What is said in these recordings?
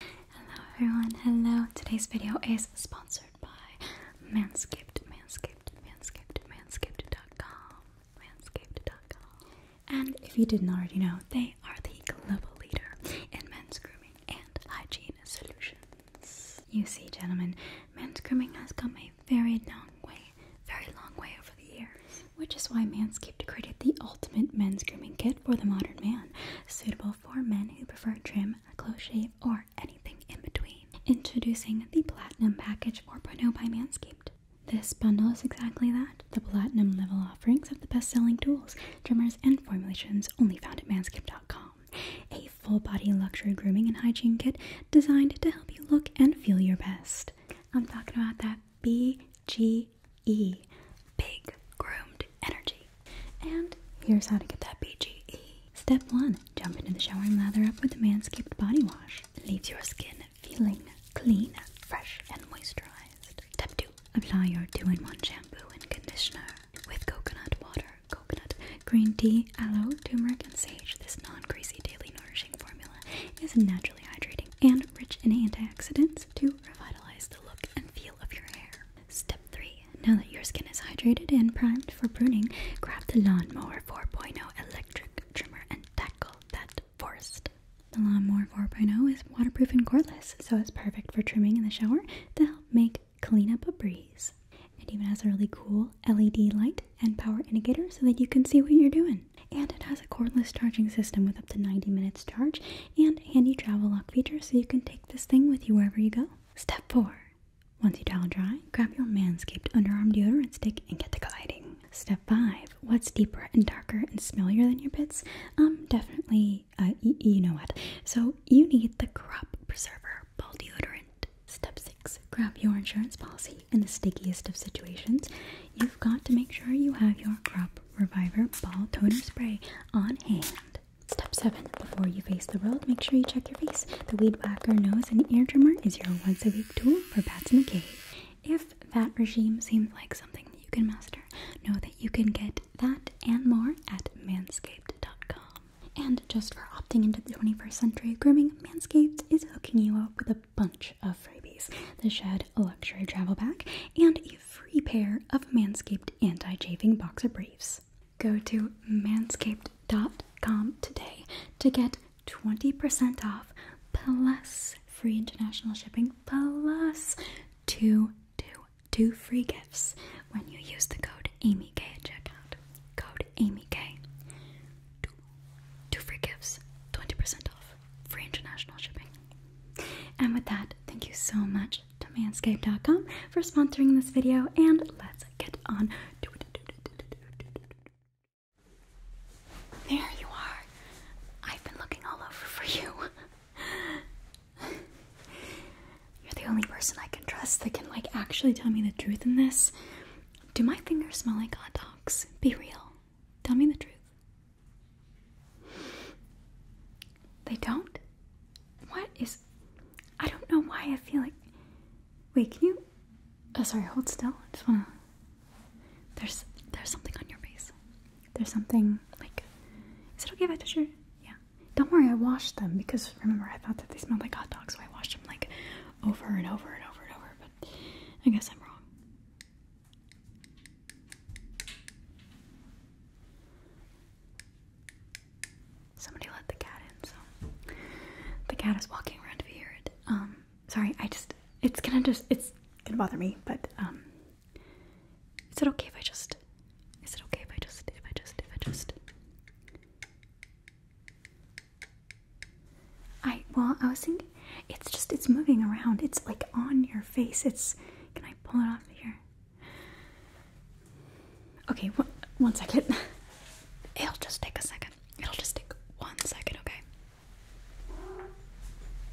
Hello everyone, hello. Today's video is sponsored by Manscaped, Manscaped, Manscaped, Manscaped.com, Manscaped.com. And if you didn't already know, they are the global leader in men's grooming and hygiene solutions. You see, gentlemen, men's grooming has come a very long way, very long way over the years, which is why Manscaped created the ultimate men's grooming kit for the modern man, suitable for men who prefer trim, a close shave, or anything in between. Introducing the Platinum Package 4.0 by Manscaped. This bundle is exactly that the platinum level offerings of the best selling tools, trimmers, and formulations only found at manscaped.com. A full body luxury grooming and hygiene kit designed to help you look and feel your best. I'm talking about that. B G E, big groomed energy. And here's how to get that BGE. Step one jump into the shower and lather up with the Manscaped Body Wash. It leaves your skin feeling clean, fresh, and moisturized. Step two apply your two in one shampoo and conditioner with coconut water, coconut, green tea, aloe, turmeric, and sage. This non greasy daily nourishing formula is naturally hydrating and rich in antioxidants to revitalize the look and feel of your hair. Step 3. Now that your skin is hydrated and primed for pruning, grab the Lawnmower 4.0 electric trimmer and tackle that forest. The Lawnmower 4.0 is waterproof and cordless, so it's perfect for trimming in the shower to help make clean up a breeze. It even has a really cool LED light and power indicator so that you can see what you're doing. And it has a cordless charging system with up to 90 minutes charge and handy travel lock feature so you can take this thing with you wherever you go. Step 4. Once you towel dry, grab your Manscaped underarm deodorant stick and get to gliding. Step 5. What's deeper and darker and smellier than your pits? Um, definitely, uh, you know what. So you need the Crop Preserver Ball Deodorant. Step 6. Grab your insurance policy in the stickiest of situations. You've got to make sure you have your crop Reviver Ball Toner Spray on hand. Step 7. Before you face the world, make sure you check your face. The Weed Whacker Nose and Ear Trimmer is your once a week tool for bats in the cave. If that regime seems like something you can master, know that you can get that and more at manscaped.com. And just for opting into the 21st century grooming, Manscaped is hooking you up with a bunch of freebies the Shed Luxury Travel Bag and a free pair of Manscaped Anti-Chafing Boxer Briefs. Go to manscaped.com today to get 20% off plus free international shipping plus two, two, two free gifts when you use the code AMYK at checkout. Code AMYK. Two, two free gifts, 20% off, free international shipping. And with that, thank you so much to manscaped.com for sponsoring this video, and let's get on There you are. I've been looking all over for you. You're the only person I can trust that can, like, actually tell me the truth in this. Do my fingers smell like hot dogs? Be real. Tell me the truth. They don't? What is. I don't know why I feel like. Wait, can you. Oh, sorry, hold still. I just wanna. There's, there's something on your face. There's something like. Is it okay if I touch your. Yeah. Don't worry, I washed them because remember, I thought that they smelled like hot dogs, so I washed them like over and over and over and over, but I guess I'm wrong. Somebody let the cat in, so the cat is walking around if you hear it. Um, sorry, I just it's gonna just it's gonna bother me, but um is it okay if I just is it okay if I just if I just if I just I well I was thinking it's just it's moving around. It's like on your face. It's can I pull it off here? Okay, wh one second. It'll just take a second. It'll just take one second, okay?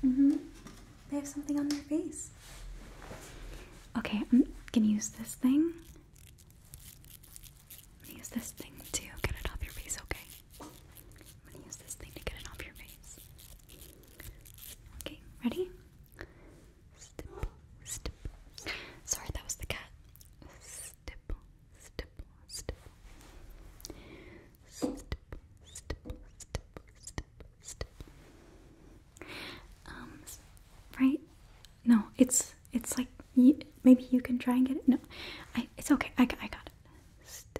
hmm. They have something on their face. Okay, I'm gonna use this thing. use this thing to get it off your face, okay? I'm gonna use this thing to get it off your face. Okay, ready? Sorry, that was the cat. right? No, it's it's like maybe you can try and get it. No, I it's okay. I I got it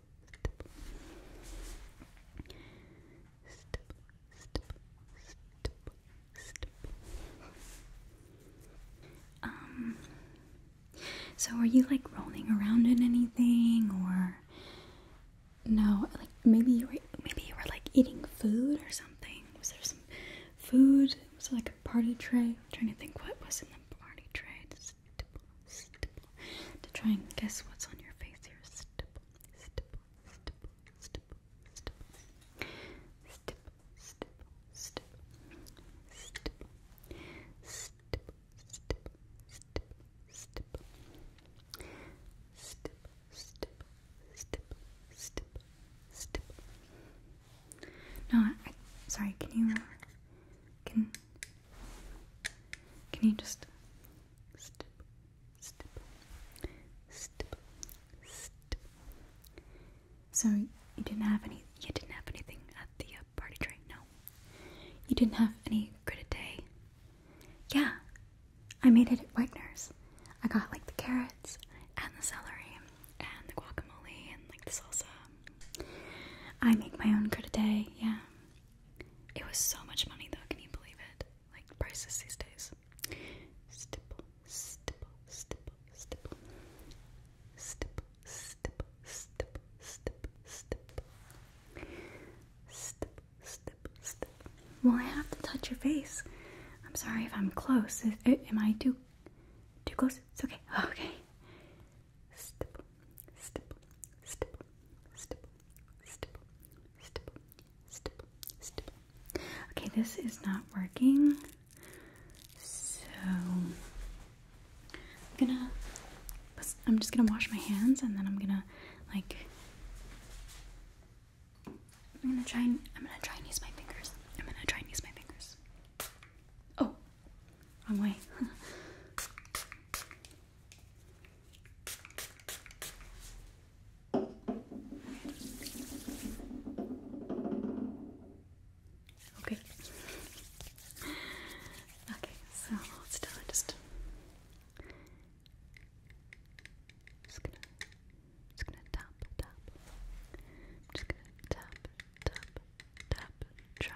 um, so are you like rolling around in anything or no, like maybe you were maybe you were like eating food or something. Was there some food? Was it like a party tray? trying to think what was in the party tray. To try and guess what's on your face here. No, sorry, can you, can, can you just So you didn't have any. You didn't have anything at the uh, party train, no. You didn't have any gritted day. Yeah, I made it at Wagner's. I got like the carrots and the celery and the guacamole and like the salsa. I make my own gritted day. Yeah. It was so much money though, can you believe it? Like prices these days. Stipple, Well, I have to touch your face. I'm sorry if I'm close. Eh, am I too too close? It's okay. okay. Okay, this is not working. So I'm gonna I'm just gonna wash my hands and then I'm gonna like I'm gonna try and I'm gonna try and use my fingers. I'm gonna try and use my fingers. Oh, Wrong way. okay. Okay, so it's done. Just, just gonna, just gonna tap, tap. I'm just gonna tap, tap, tap. Try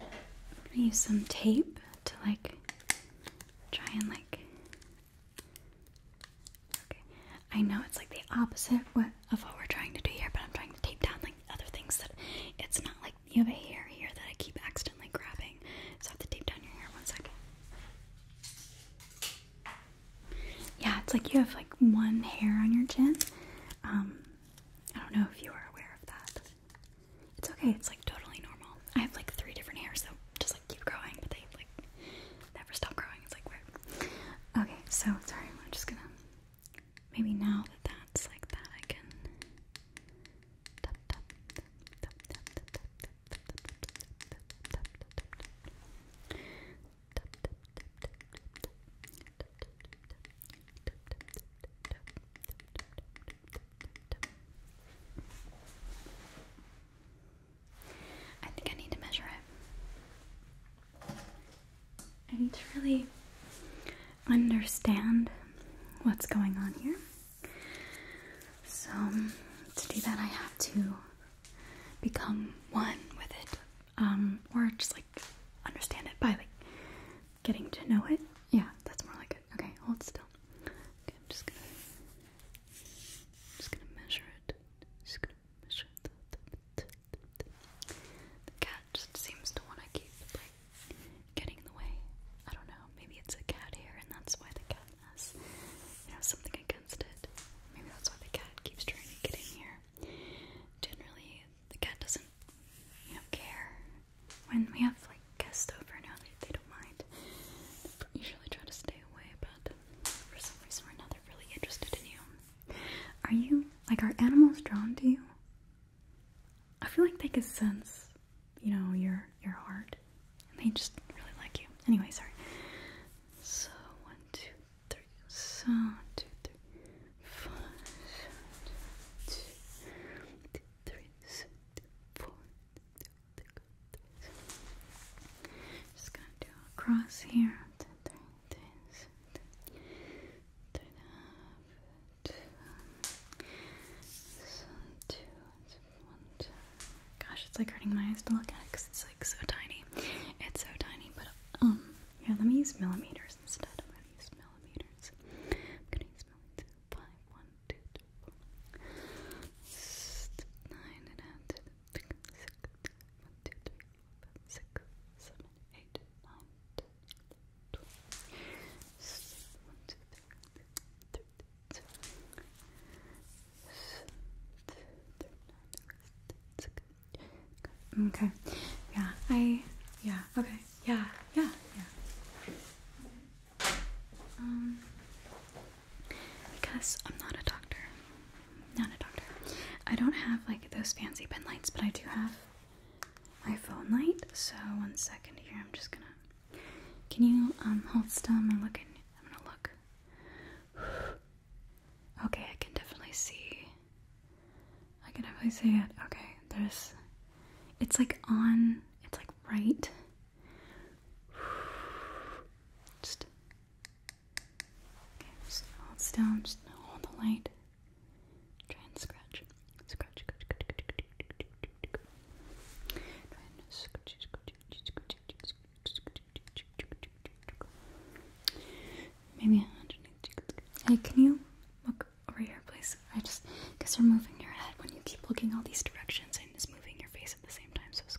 I'm gonna use some tape to like try and like okay. I know it's like the opposite of what we're trying to do here, but I'm trying to tape down like other things that it's not like you have a hair here that I keep accidentally grabbing. So I have to tape down your hair one second. Yeah, it's like you have like one hair on your chin. Um, I don't know if you are aware of that. It's okay, it's like totally normal. I have like three different hairs so just like keep growing, but they like never stop growing. It's like weird. Okay, so sorry, I'm just gonna maybe now that that's like that, I can. I think I need to measure it. I need to really understand what's going on here. So, to do that, I have to become one with it um, or just like understand it by like getting to know it. Yeah, that's more like it. Okay, hold still. Okay, I'm just gonna, just gonna measure it. Just gonna measure it. The cat just seems to want to keep like getting in the way. I don't know. Maybe it's a cat here, and that's why the cat has you know something against it. Maybe that's why the cat keeps trying to get in here. Generally, the cat doesn't, care when we have like guests over now. They, they don't mind. usually try to stay away, but for some reason or another, really interested in you. Are you like are animals drawn to you? I feel like they could sense, you know, your your heart, and they just really like you. Anyway, sorry. So one, two, three, so two, three, four, Just gonna do a cross here. Two, three, three, Gosh, it's like hurting my eyes to look at it because it's like so tiny. It's so tiny, but um, yeah, let me use millimeters numbers instead. I'm millimeters. I'm going to use millimeters. 5, 1, 2, 3, 4, 9, and add to the Okay. Yeah. I. Yeah. Okay. Yeah. Yeah. Yeah. Um. Because I'm not a doctor. Not a doctor. I don't have like those fancy pen lights, but I do have my phone light. So one second here. I'm just gonna. Can you um hold still? I'm going look in. I'm gonna look. Okay, I can definitely see. I can definitely see it. Okay, there's. It's like on. It's like right. Just. Okay, just hold still. Just hold the light. Try and scratch. Scratch. Try and scratch. Scratch. Scratch. Scratch. Scratch. Scratch. Scratch. Maybe underneath. Hey, can you look over here, please? I just, because you're moving your head when you keep looking all these directions and it's moving your face at the same time. So it's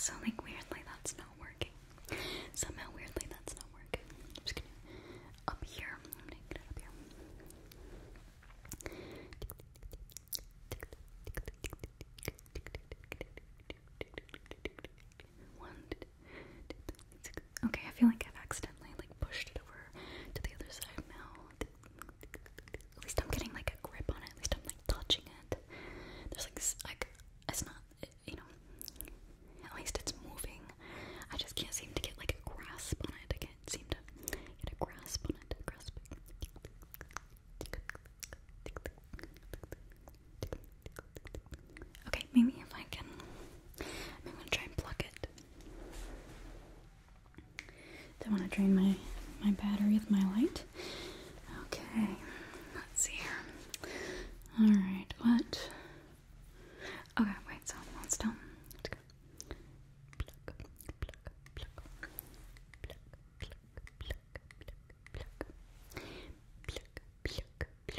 so like weirdly that's not working. Somehow weirdly that's not working. just going up here. up here. One, Okay, I feel like I've accidentally like pushed it over to the other side now. At least I'm getting like a grip on it. At least I'm like touching it. There's like like it's not you know. At least it's moving. I just can't seem to get like a grasp on it. I can't seem to get a grasp on it. Okay, maybe if I can, I'm gonna try and plug it. Don't want to drain my my battery with my light. Okay, let's see here. All right, what? Okay, wait. So hold still. Let's go.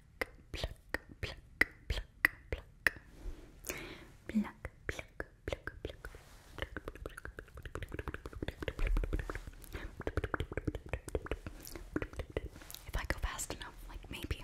pluck, pluck, pluck, pluck, pluck. If I go fast enough, like maybe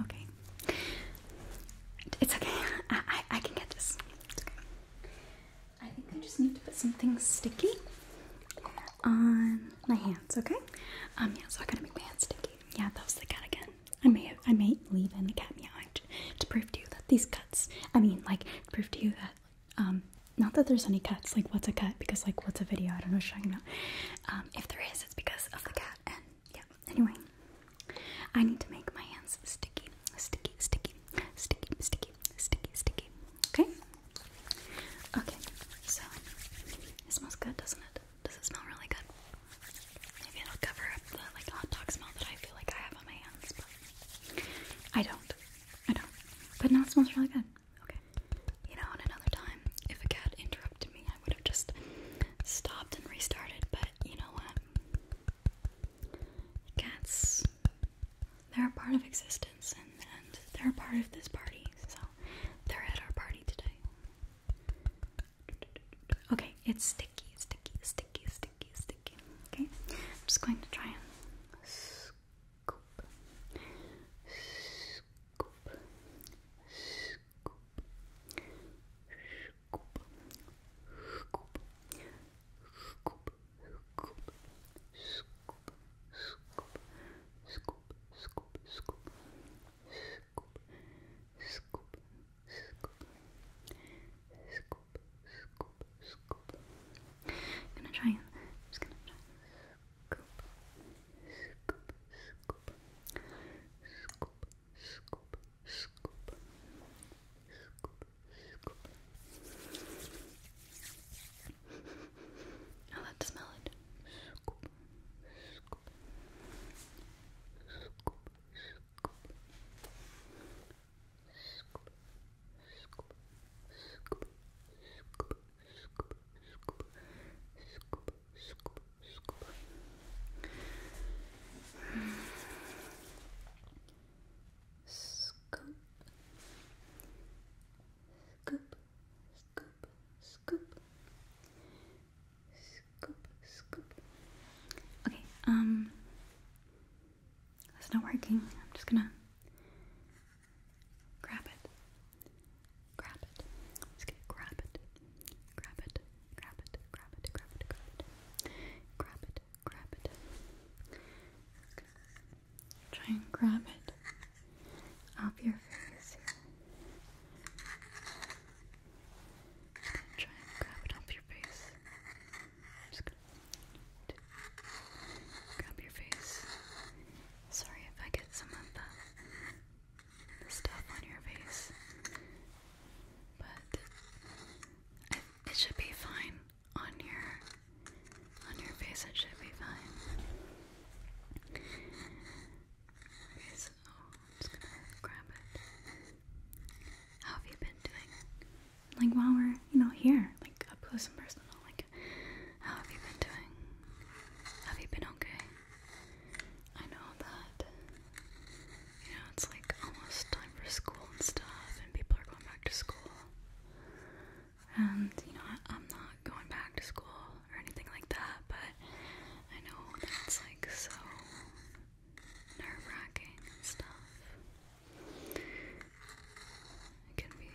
Okay. It's okay. I, I, can get this. I think I just need to put something sticky on my hands, okay? Um, yeah, so I gotta make my hands sticky. Yeah, that was the cat again. I may I may leave in the cat meowing to, prove to you that these cuts, I mean, like, prove to you that, um, not that there's any cuts, like, what's a cut? Because, like, what's a video? I don't know what you Um, if there is, it's because of the cat, and yeah, anyway. I need to make my hands sticky, sticky, sticky, sticky, sticky, sticky, sticky. Okay? Okay, so it smells good, doesn't it? Does it smell really good? Maybe it'll cover up the like hot dog smell that I feel like I have on my hands, but I don't. I don't. But now it smells really good. Okay. You know, on another time, if a cat interrupted me, I would have just stopped and restarted, but you know what? Cats, they're a part of existence, and they're part of this party, so they're at our party today. Okay, it's sticky, sticky, sticky, sticky, sticky. Okay, I'm just going to try and scoop, scoop, scoop, scoop, scoop, scoop, scoop, scoop scoop, scoop, scoop, scoop, scoop, scoop, scoop, scoop, scoop, scoop, scoop. I'm gonna try and I'm just gonna try scoop, scoop, scoop, scoop, scoop, scoop, scoop, scoop. I love to smell it. Scoop, scoop, scoop, scoop, scoop, scoop, scoop, scoop, scoop, scoop, scoop, scoop, scoop. Scoop, scoop, scoop, scoop, scoop, scoop, scoop. Okay, um, that's not working. I'm just gonna grab it, grab it. I'm just gonna grab it, grab it, grab it, grab it, grab it, grab it, grab it, grab it. Grab it. Just gonna Try and grab it off your face Try and grab it off your face. grab your face. Sorry if I get some of the, stuff on your face, but it, should be fine on your on your face, it should be fine. Okay, so just gonna grab it. How have you been doing? Like while we're, you know, here, like up close and personal, like how have you been doing? Have you been okay? I know that you know it's like almost time for school and stuff and people are going back to school and you know I, am not going back to school or anything like that, but I know that's like so nerve wracking and stuff. It can be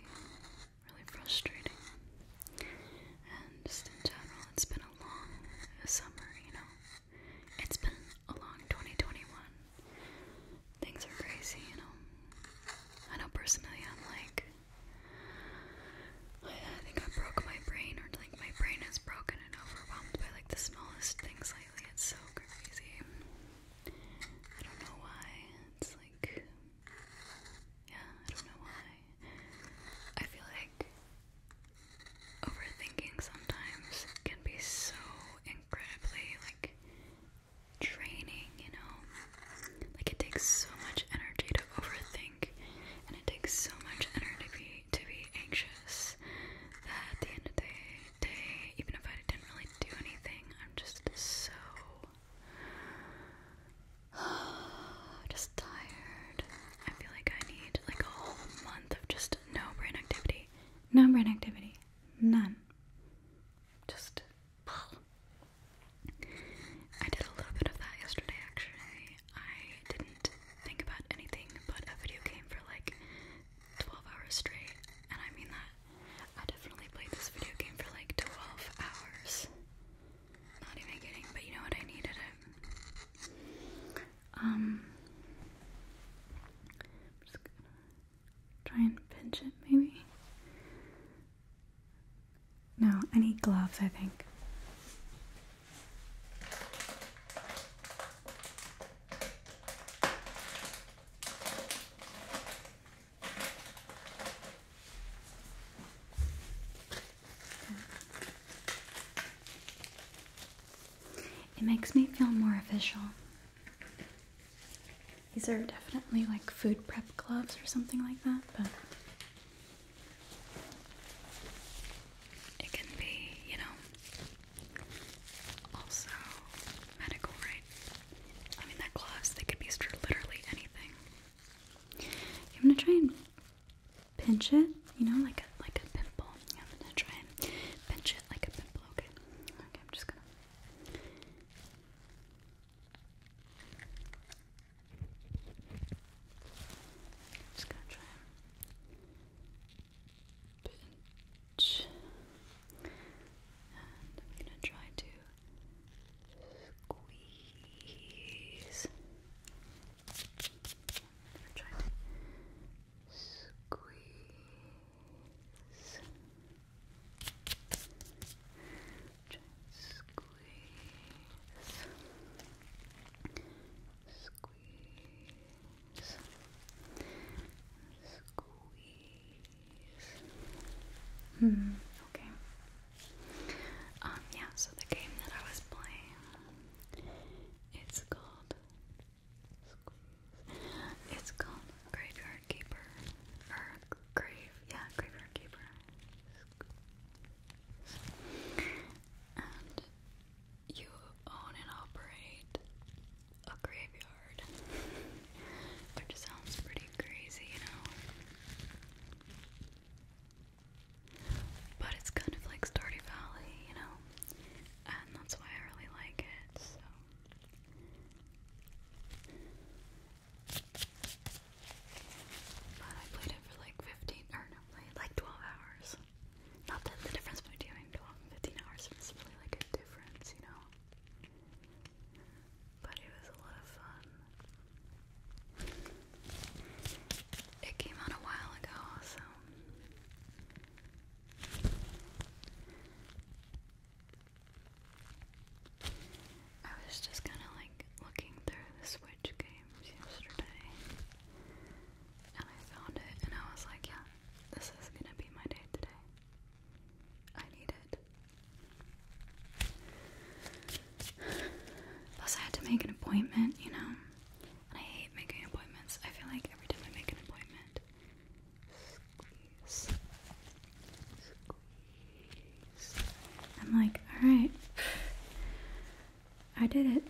really frustrating, and just in general, it's been a long summer, you know. It's been a long 2021. Things are crazy, you know. I know personally, I'm like I think I broke my brain, or like my brain is broken and overwhelmed by like the smallest things lately. It's so crazy. I don't know why. It's like, yeah, I don't know why. I feel like overthinking sometimes can be so incredibly like draining, you know? Like, it takes so much energy to overthink, and it takes so much energy to be anxious that at the end of the day, even if I didn't really do anything, I'm just so. just tired. I feel like I need like a whole month of just no brain activity. No brain activity. None. Just I did a little bit of that yesterday actually. I didn't think about anything but a video game for like 12 hours straight, and I mean that. I definitely played this video game for like 12 hours. Not even kidding, but you know what? I needed Um, just try and pinch it maybe. No, I need gloves, I think. It makes me feel more official. These are definitely like food prep gloves or something like that, but it can be, you know, also medical, right? I mean, that gloves, they could be used for literally anything. I'm gonna try and pinch it, you know, like a, like a pimple. I'm gonna try and pinch it like a pimple, okay? Okay, I'm just gonna. Just gonna try pinch, and I'm gonna try to squeeze. try to squeeze squeeze. Squeeze. Squeeze. Hmm. Okay. Um, yeah, so the game that I was playing, it's called It's called Graveyard Keeper grave, yeah, graveyard keeper. And you own and operate a graveyard, which sounds pretty crazy, you know. But it's kind of like Stardew Valley, you know, and that's why I really like it. But I played it for like 15, or no, like 12 hours. Not that the difference between doing hours is really like a difference, you know? But it was a lot of fun. It came out a while ago, so I was just kind of like looking through the Switch games yesterday and I found it and I was like, yeah, this is gonna be my day today. I need it. Plus, I had to make an appointment, you know? And I hate making appointments. I feel like every time I make an appointment, I'm like, alright. I did it.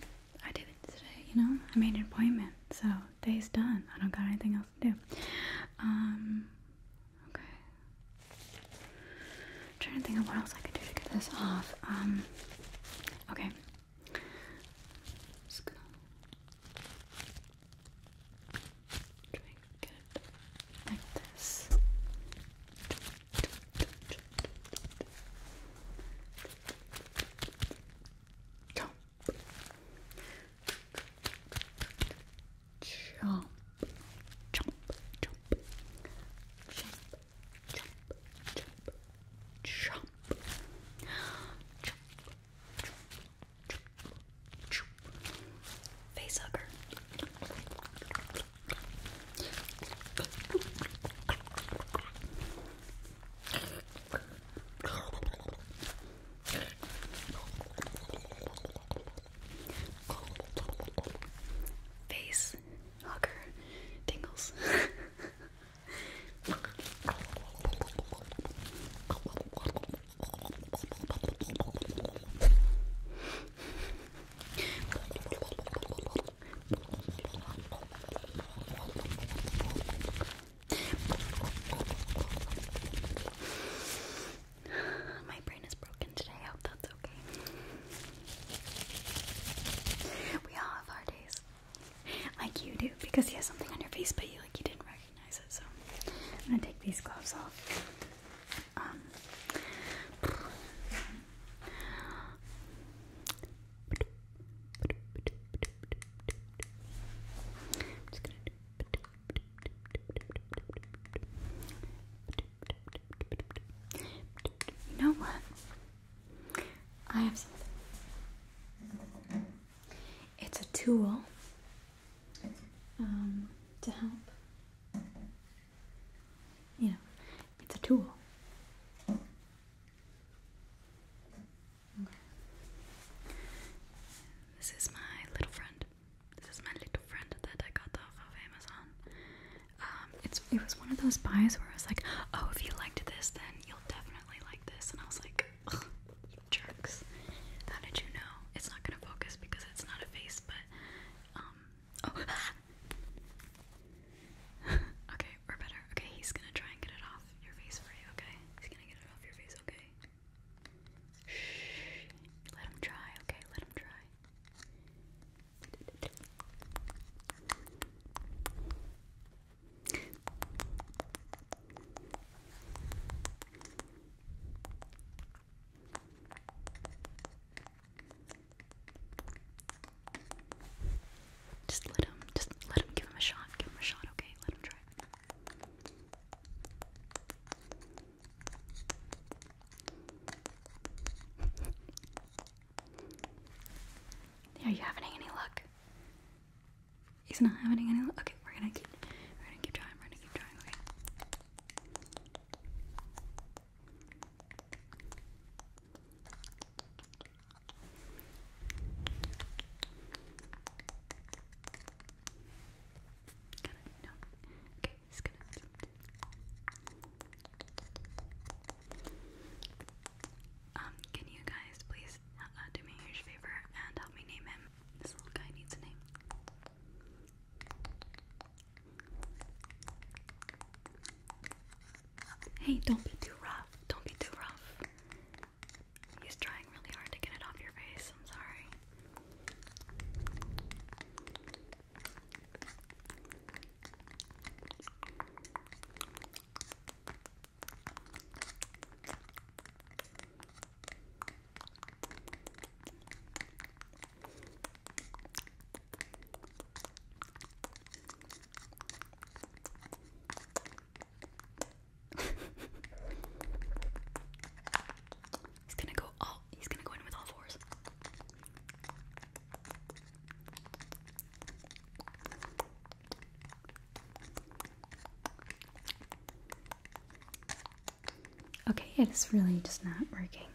I did it today, you know? I made an appointment, so day's done. I don't got anything else to do. Um okay. trying to think of what else I could do to get this off. Um okay. Drink it like this. Chomp. Chomp. Chomp. Chomp. Chomp. Chomp. Chomp. Chomp. Chomp. Chomp. Face hugger. Face hugger tingles. My brain is broken today. I hope that's okay. We all have our days. Like you do, because he has something on your face, but you like you didn't recognize so I'm gonna take these gloves off. Um, you know what? I have something. It's a tool um, to help. You know, it's a tool. Okay. This is my little friend. This is my little friend that I got off of Amazon. Um, it's it was one of those buys where I was like, oh, if you liked this, then you'll definitely like this, and I was like, jerks. How did you know? It's not gonna focus because it's not a face, but um, oh. Okay, we're better. Okay, he's gonna try and get it off your face for you, okay? He's gonna get it off your face, okay? Shh. Let him try, okay? Let him try. Just let him, just let him give him a shot. Give him a shot, okay? Let him try. Are you having any luck? He's not having any luck. Okay, we're gonna keep we're gonna keep trying, we're gonna keep trying, okay. Got it, gonna um, can you guys please uh, do me a huge favor and help me name him? This little guy needs a name. Hey, don't be too rough. Don't be too rough. He's trying really hard to get it off your face. I'm sorry. he's gonna go all he's gonna go in with all fours. Okay, it is really just not working.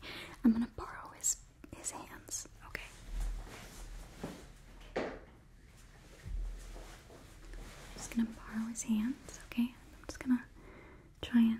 I'm gonna borrow his his hands. Okay. I'm just gonna borrow his hands, okay? I'm just gonna try and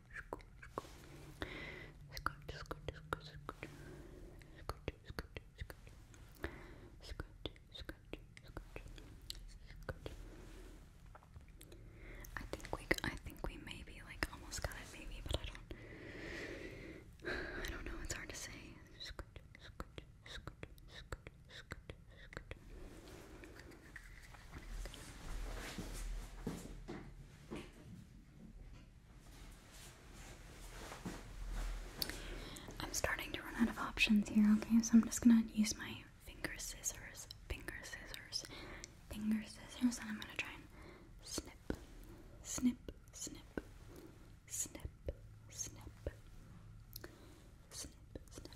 I think we I think we maybe like almost got it maybe but I don't I don't know it's hard to say I'm starting to run out of options here, okay? So I'm just gonna use my finger scissors, finger scissors, finger scissors, and I'm gonna try and snip, snip, snip, snip, snip, snip, snip,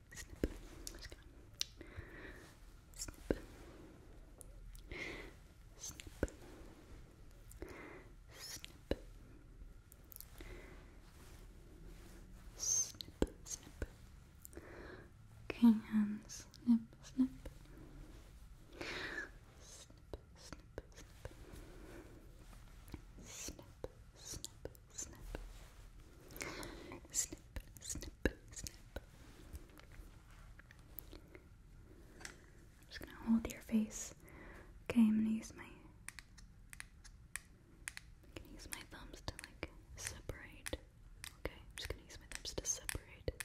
snip. snip. Snip. Snip. Snip, snip. Okay, and snip, snip. Snip, snip, snip. Snip, snip, snip, snip, snip, snip. I'm just gonna hold your face. Okay, I'm gonna use my. I can use my thumbs to like separate. Okay, I'm just gonna use my thumbs to separate.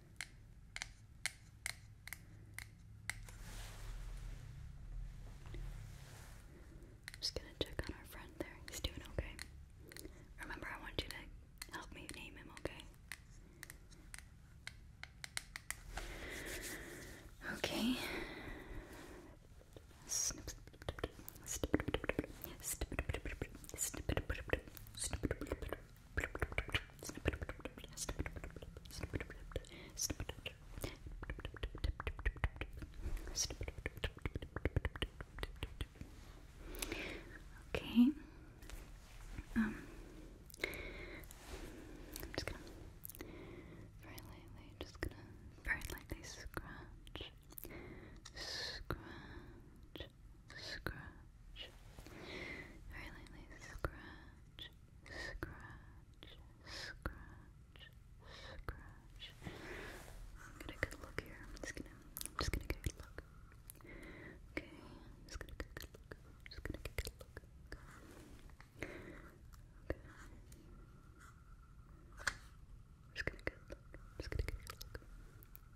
just gonna check on our friend there. He's doing okay. Remember, I want you to help me name him, okay? Okay. Okay. Um, very lightly, just gonna very lightly scratch, scratch, scratch, very lightly scratch, scratch, scratch, scratch. Get a good look here. I'm just gonna, I'm just gonna get a good look. Okay, I'm just gonna get a good look. I'm just gonna get a good look. Okay. I'm just gonna get a look. I'm just gonna get a look.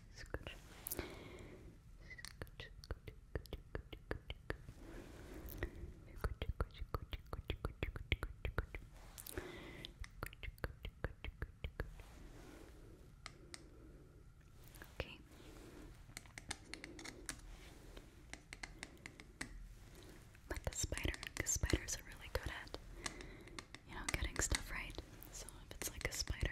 Scooch. Okay. Like a spider, because spiders are really good at, you know, getting stuff right. So if it's like a spider,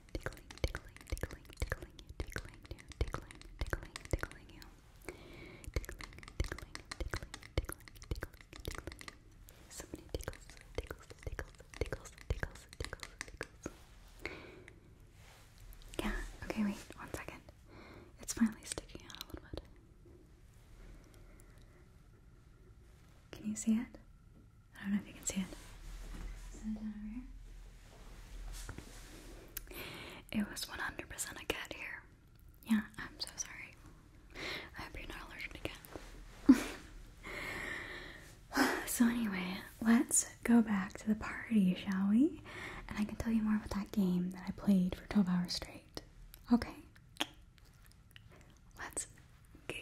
tickling, tickling, tickling, tickling you, tickling you, tickling, tickling, tickling you, tickling, tickling, tickling, tickling, tickling, tickling So many tickles, tickles, tickles, tickles, tickles, tickles, tickles. Yeah. Okay. Wait. One second. It's finally sticking out a little bit. Can you see it? I don't know if you can see it. It was 100% a cat here. Yeah, I'm so sorry. I hope you're not allergic to cats. so, anyway, let's go back to the party, shall we? And I can tell you more about that game that I played for 12 hours straight. Okay. Let's go.